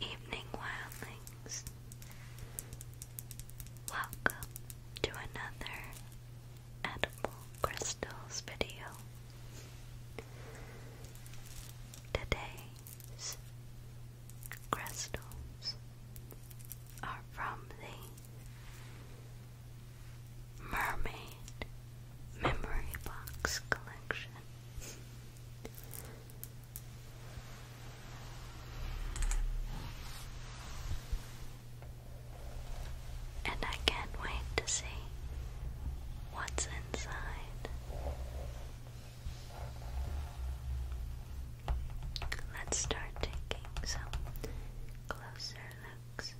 Evening wildlings. Welcome to another edible crystals video. Today's crystals are from the Mermaid Memory Box Collection. And I can't wait to see what's inside. Let's start taking some closer looks.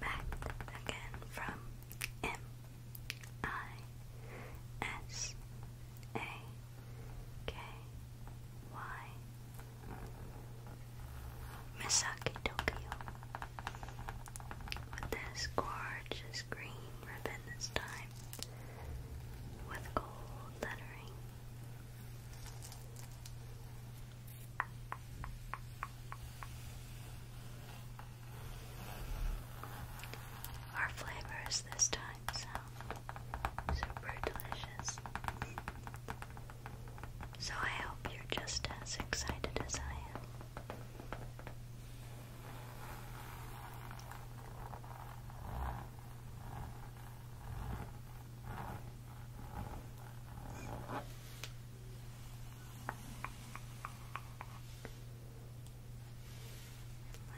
Back again from M I S A K Y Misaki Tokyo with this gorgeous green ribbon this time with gold lettering. Our flavors this time sound super delicious. So I hope you're just as excited as I am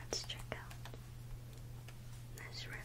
Let's check out this ribbon.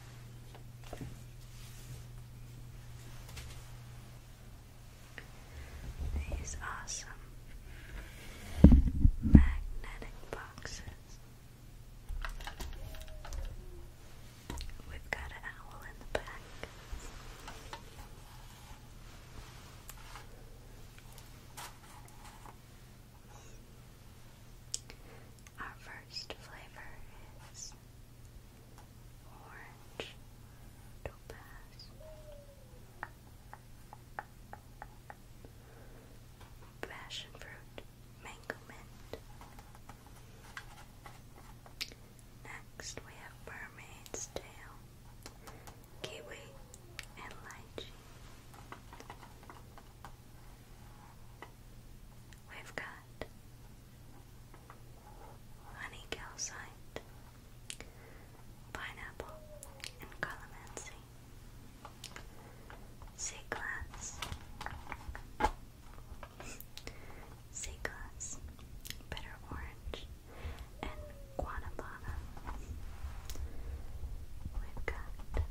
These awesome magnetic boxes. We've got an owl in the back. Our first flavor is orange topaz. Passion fruit, mango mint. Next, we have mermaid's tail, kiwi, and lychee. We've got honey calcite, pineapple, and calamansi, sea glass, bitter orange, and guanabana. We've got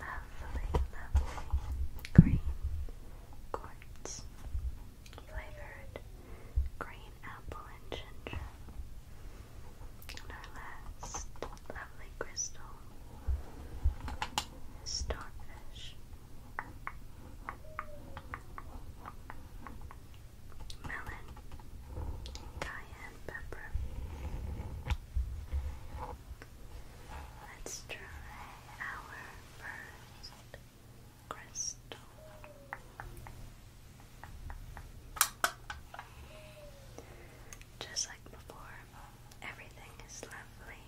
lovely, lovely green quartz flavored green apple and ginger. And our last lovely crystal is starfish. Melon, cayenne pepper, Let's try our first crystal. Just like before, everything is lovely,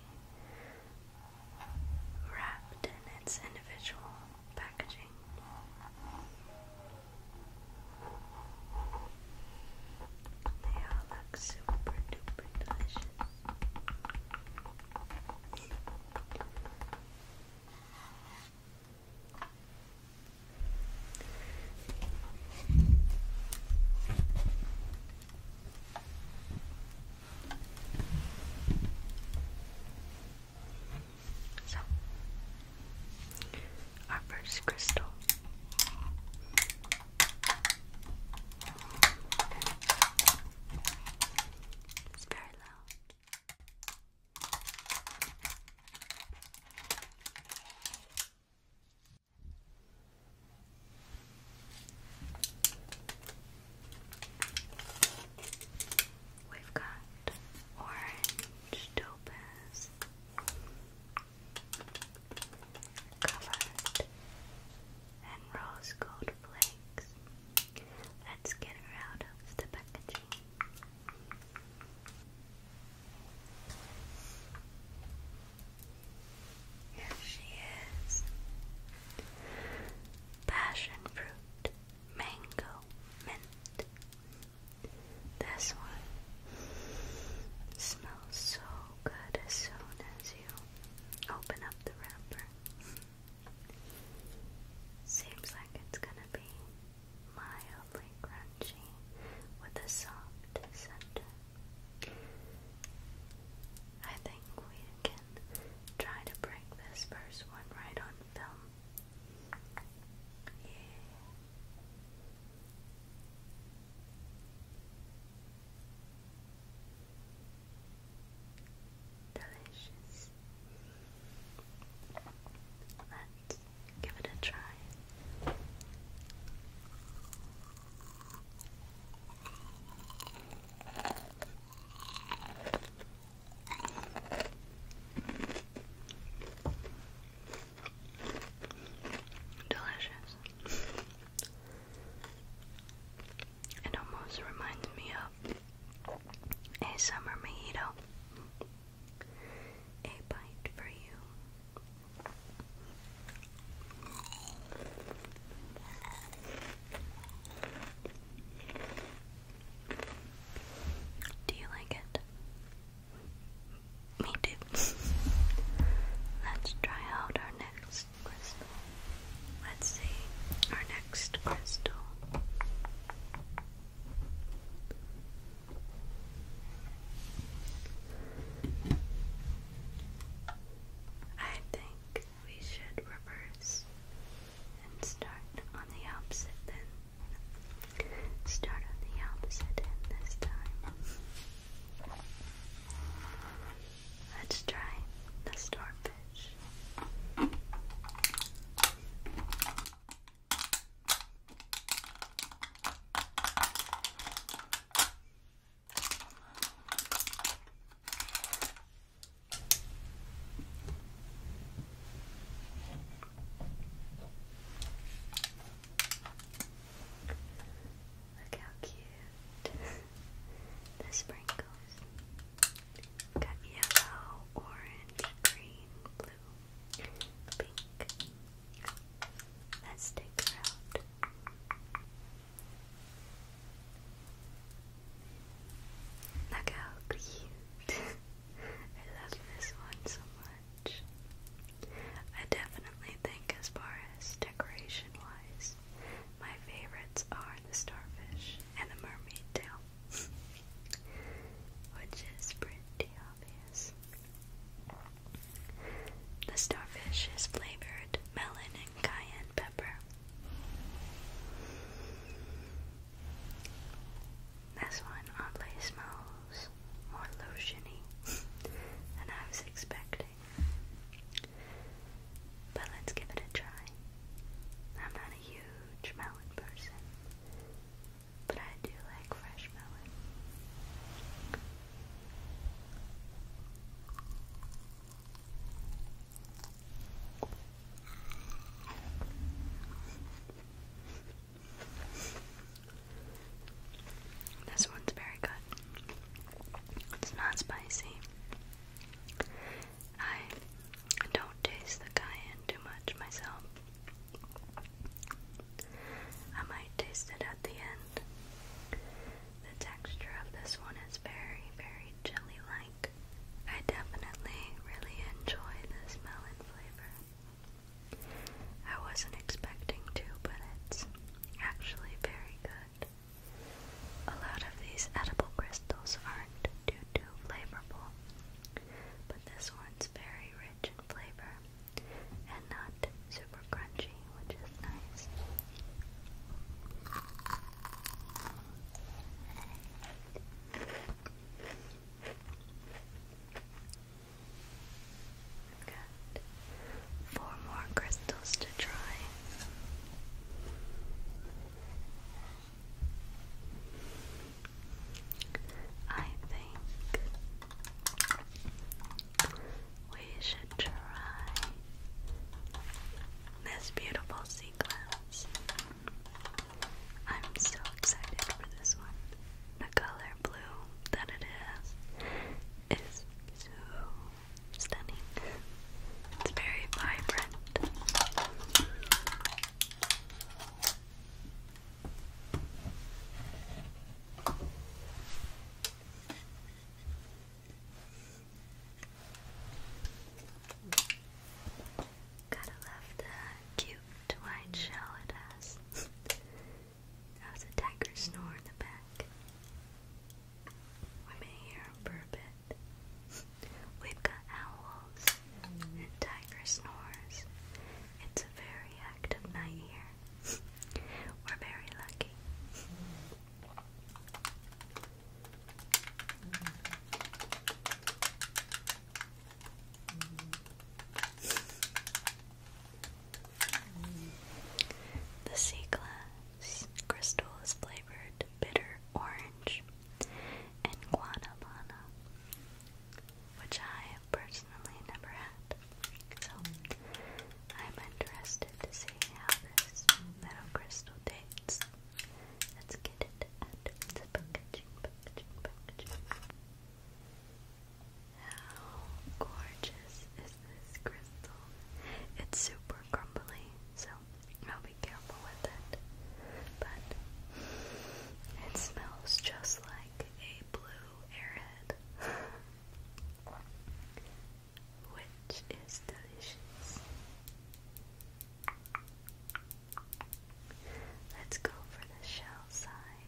wrapped in its individual packaging. They all look super duper delicious. So, our first crystal. It's very loud. We've got orange topaz, covered in rose gold flakes. Let's get her out of the packaging. Here she is. Passion fruit, mango, mint. This one smells so good as soon as you open up the wrapper. Seems like it's gonna be mildly crunchy with a soft center. I think we can try to break this first one right on film. Yeah. Delicious. Let's give it a try. Delicious. It almost reminds me of a summer mojito. A bite for you. Do you like it? Me too. Let's try out our next crystal. Let's see our next crystal. I think we should reverse and start on the opposite then. Start on the opposite end this time. Let's try the stormfish. Look how cute. the sprinkles. We've got yellow, orange, green, blue, pink. Let's take her out. Look how cute. I love this one so much. I definitely think, as far as decoration wise, my favorites are the starfish and the mermaid tail, which is pretty obvious. The starfish is flavored melon and cayenne pepper. This one oddly smells more lotiony than I was expecting. But let's give it a try. I'm not a huge melon person, but I do like fresh melon. This one's very good. It's not spicy. I don't taste the cayenne too much myself. I might taste it at the end. The texture of this one is very, very jelly like. I definitely really enjoy this melon flavor. I wasn't expecting to, but it's actually very good. A lot of these edible crystals aren't too too flavorful, but this one's very rich in flavor and not super crunchy, which is nice. Good. Four more crystals to try. I think we should try this beautiful sequence. I'm so excited for this one. The color color blue that it is is so stunning. It's very vibrant. Gotta love the cute white shell it has. That was tiger snore in the back. Women hear them for a bit. We've got owls and tiger snores. It's a very active night here. We're very lucky. The sea glass crystal is flavored bitter orange and guanabana, which I have personally never had. So I'm interested to see how this metal crystal tastes. Let's get it how gorgeous is this crystal? It's super crumbly, so I'll be careful with it. But it smells just like a blue airhead. Which is delicious. Let's go for the shell side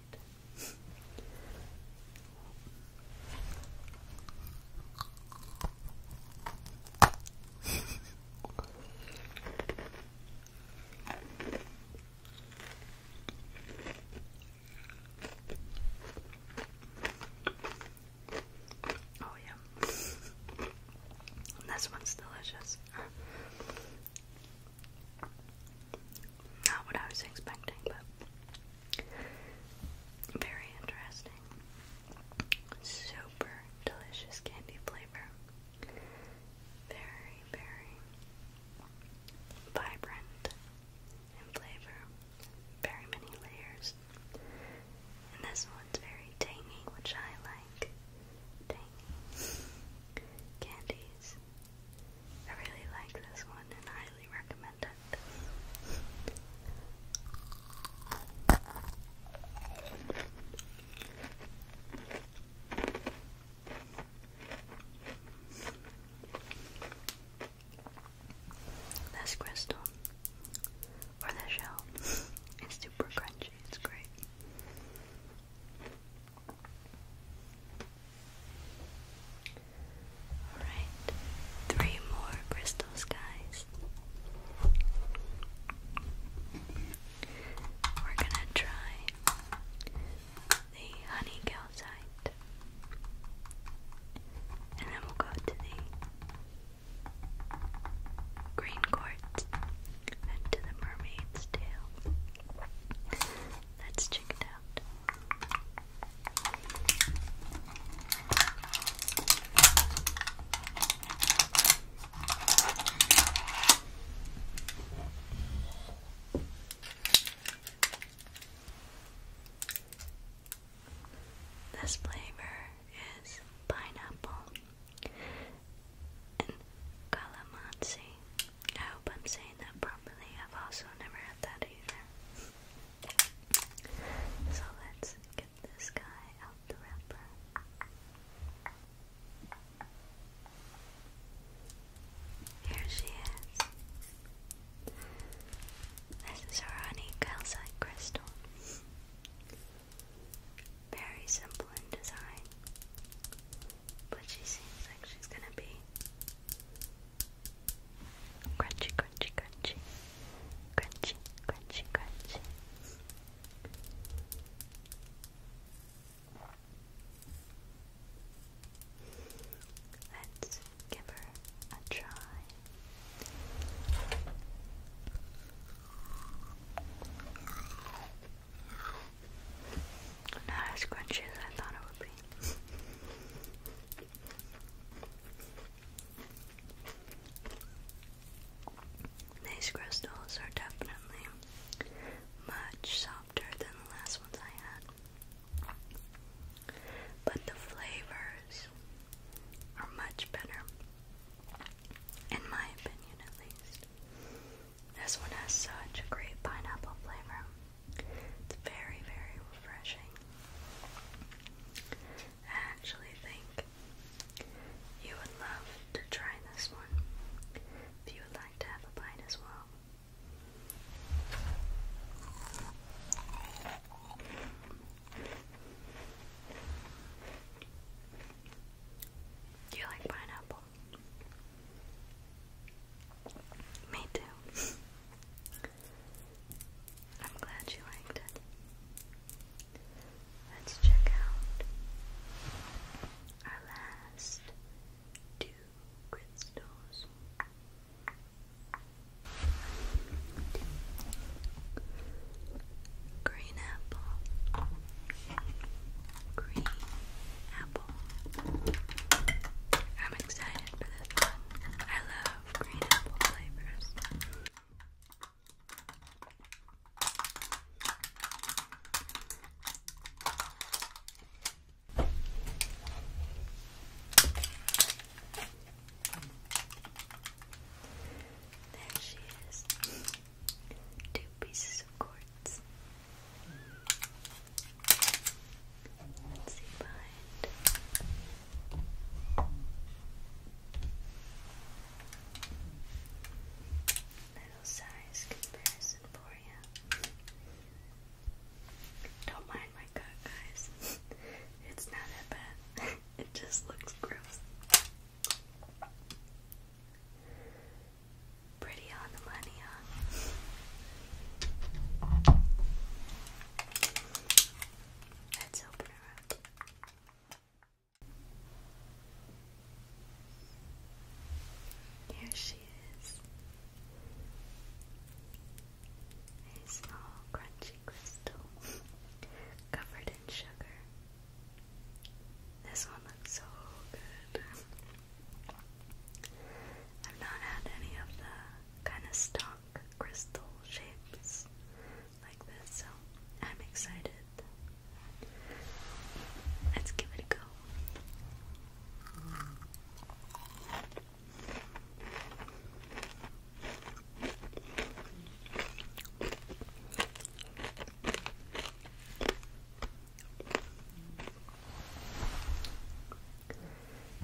oh yeah, this one's delicious. Not what I was expecting, but very interesting. Super delicious candy flavor. Very, very vibrant in flavor. Very many layers. And this one's very tangy, which I like. Tangy. Candies I really like this one and I highly recommend it. This crystal or the shell is super crunchy, it's great. Alright, three more crystals, guys. We're gonna try the honey calcite, and then we'll go to the green quartz and to the mermaid's tail. Let's check it out. This flavor is pineapple and calamansi. I hope I'm saying that properly. I've also never had that either. So let's get this guy out the wrapper. Here she is. This is her honey calcite crystal. Very simple in design but she seems like she's gonna be crunchy, crunchy, crunchy, crunchy, crunchy, crunchy. Let's give her a try. Not as crunchy as I thought it would be. These crystals are definitely much softer than the last ones I had. But the flavors are much better, in my opinion at least. This one has such a great pineapple flavor. It's very, very refreshing. I actually think you would love to try this one if you would like to have a bite as well. Do you like pineapple? Me too. I'm glad you liked it. Let's check out our last two crystals. Green apple green apple. I'm excited for this I love green apple flavors. There she is. Two pieces of quartz. Let's see behind. Little size comparison for you. Don't mind my gut, guys. it's not that bad. it just looks gross. Pretty on the money, huh? Let's open her up. Here she is. A small, crunchy crystal covered in sugar. This one looks so good. I've not had any of the kind of stock crystal shapes like this, so I'm excited. Let's give it a go.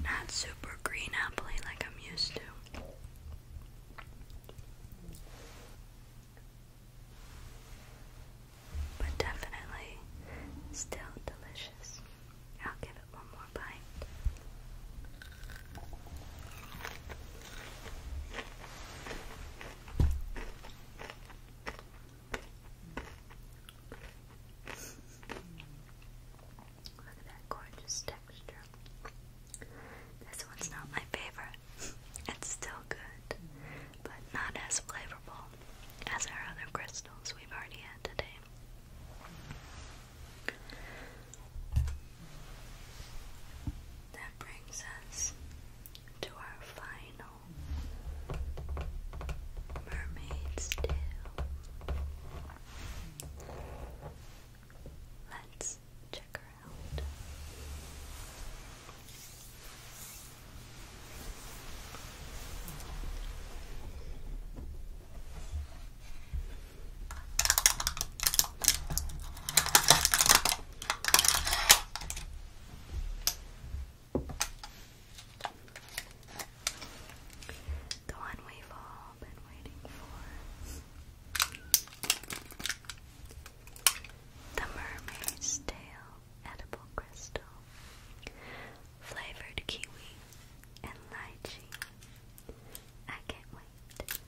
Not super green apple like I'm used to. But definitely still delicious. I'll give it one more bite. Look at that gorgeous texture. This one's not my favorite. It's still good, but not as flavorful as our other crystals we've already had today. That brings us to our final Mermaid's tail. Let's check her the one we've all been waiting for. The Mermaid's Tail Edible Crystal. Flavored kiwi and lychee. I can't wait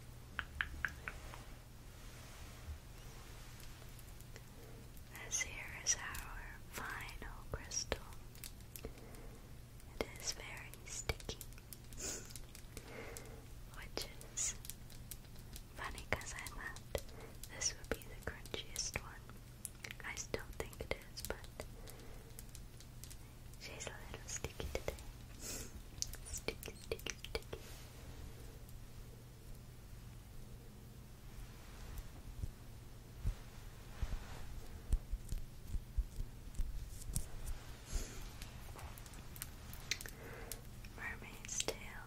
as here is our final crystal. It is very sticky, which is funny because I thought this would be the crunchiest one. I still think it is, but she's a little sticky today. Sticky, sticky, sticky. Mermaid's tail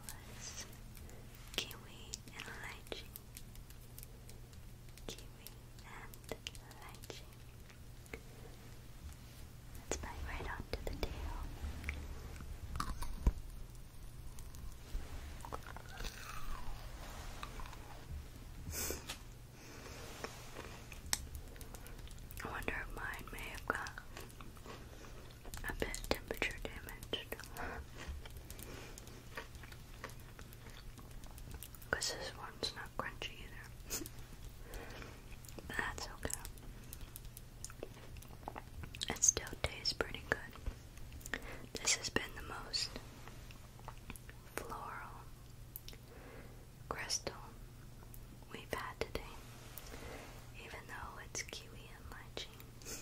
kiwi and lychee. Kiwi and lychee. Let's bite right onto the tail. I wonder if mine may have got a bit temperature damaged. Because this one's not crunchy either. That's okay. It still tastes pretty good. This has been the most floral crystal we've had today, even though it's kiwi and lychee.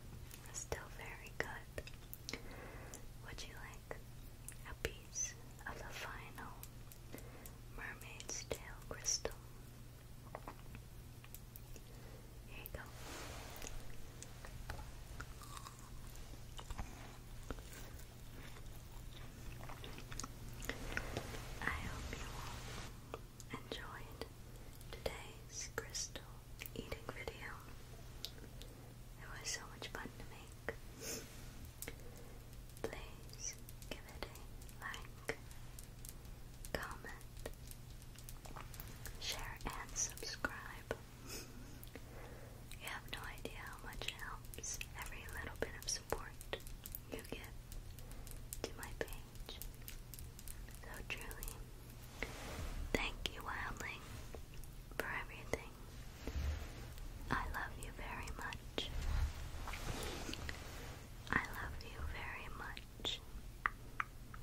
still very good. Would you like a piece of the final mermaid's tail crystal? Here you go. I hope you enjoyed today's crystal eating video. It was so much fun to make. Please give it a like, comment, share, and subscribe. you have no idea how much helps. Every little bit of support you give to my page. So truly, thank you, Wildling, for everything. I love you very much. I love you very much.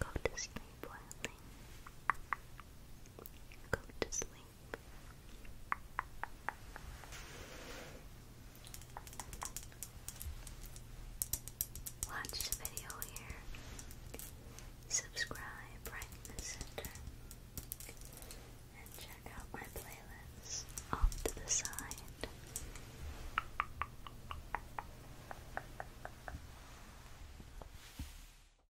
Go to sleep, Wildling. Go to sleep. Watch the video here. Subscribe right in the center. And check out my playlists off to the side.